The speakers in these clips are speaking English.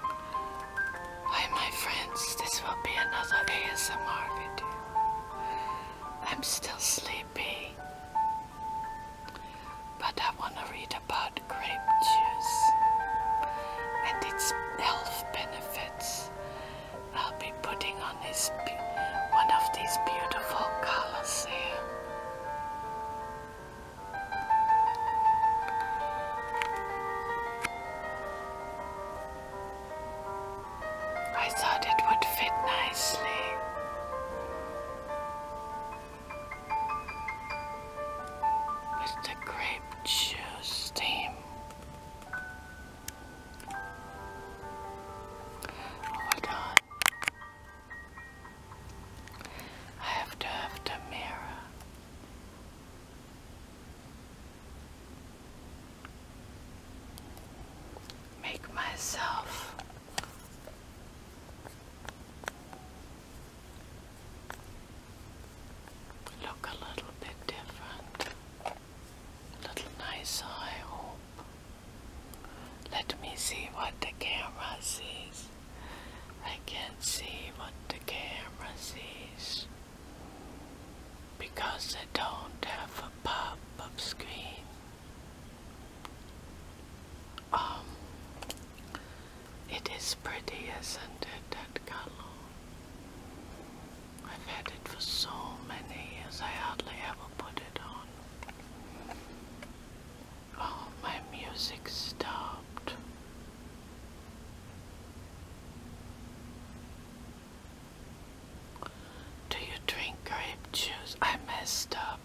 Hi my friends, this will be another ASMR video. I'm still sleepy, but I want to read about grape juice and its health benefits. I'll be putting on this one of these beautiful colors here. I thought it would fit nicely. With the grape juice theme. Oh Hold on. I have to have the mirror. Make myself look a little bit different, a little nicer, I hope. Let me see what the camera sees. I can't see what the camera sees because I don't have a pop-up screen. Um, it is pretty, isn't it, that color? I've had it for so many years, I hardly ever put it on. Oh, my music stopped. Do you drink grape juice? I messed up.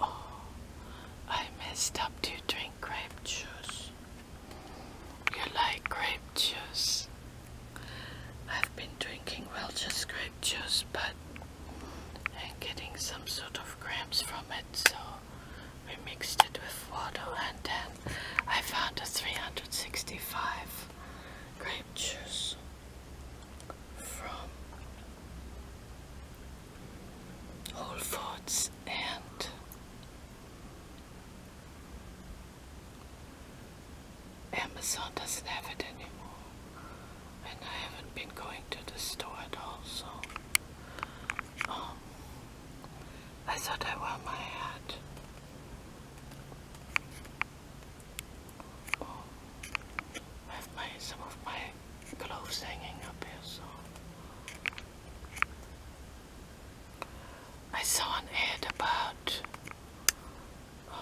Oh, I messed up. Do you drink grape juice? You like grape juice? I've been drinking, Welsh grape juice, but and getting some sort of cramps from it. So we mixed it with water and then I found a 365 grape juice from Whole Foods and Amazon doesn't have it anymore and I haven't been going to the store at all, so um, I thought I wore my hat. Oh, I have my, some of my gloves hanging up so. I saw an ad about um,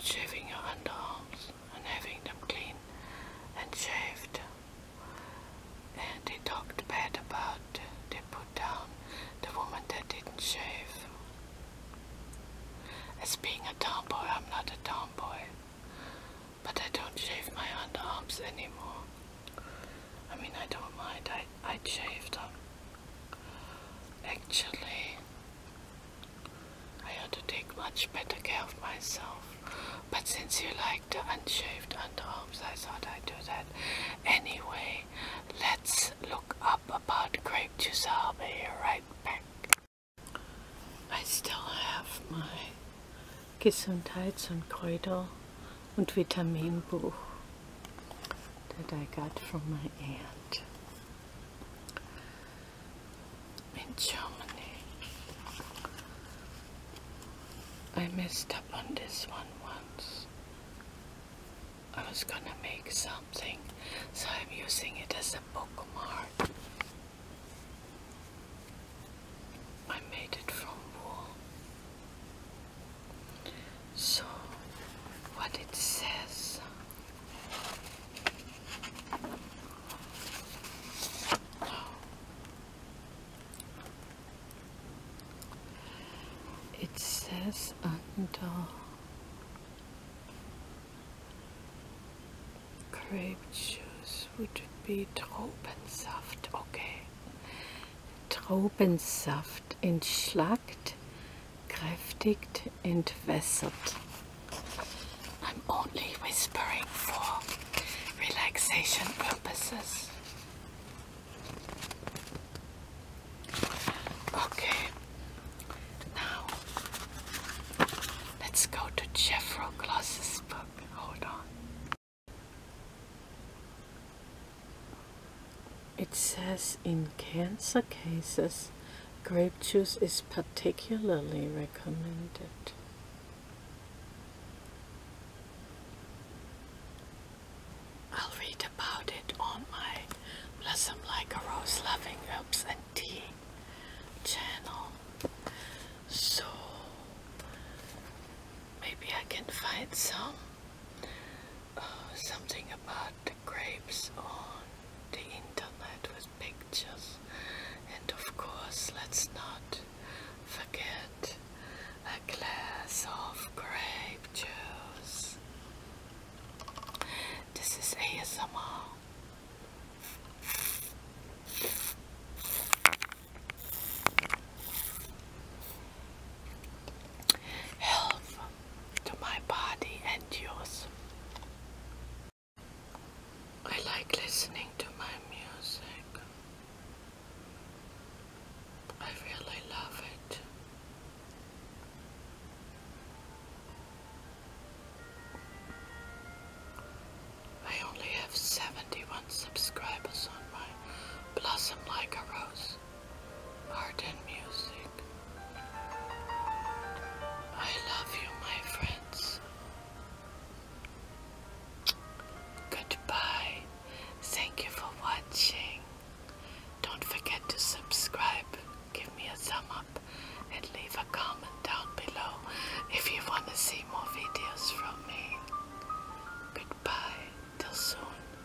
shaving your underarms and having them clean and shaved. And they talked bad about, they put down the woman that didn't shave. As being a tomboy, I'm not a tomboy. But I don't shave my underarms anymore. I mean, I don't mind, I, I shave them. Actually, I ought to take much better care of myself. But since you like the unshaved underarms, I thought I'd do that. Anyway, let's look up about grape juice. I'll be right back. I still have my Gesundheits- und Kräuter- und Vitamin Vitaminbuch that I got from my aunt in Germany. I messed up on this one once. I was gonna make something, so I'm using it as a bookmark. I made it from wool. So, what it says. It says under grape juice would be Traubensaft, okay. Traubensaft entschlackt kräftigt, entwässert. I'm only whispering for relaxation purposes. Okay, now let's go to Jeffro Gloss's book. Hold on. It says in cancer cases, Grape juice is particularly recommended. I'll read about it on my Blossom Like a Rose Loving Herbs and Tea channel. So maybe I can find some uh, something about grapes on the internet with pictures. And of course, let's not forget a glass of grape juice. This is ASMR. Health to my body and yours. I like listening to my music. I really love it. I only have 71 subscribers on my Blossom Like a Rose art and music. I love you, my friends. Goodbye. Thank you for watching. Don't forget to subscribe, give me a thumb up, and leave a comment down below if you want to see more videos from me. Goodbye. Till soon.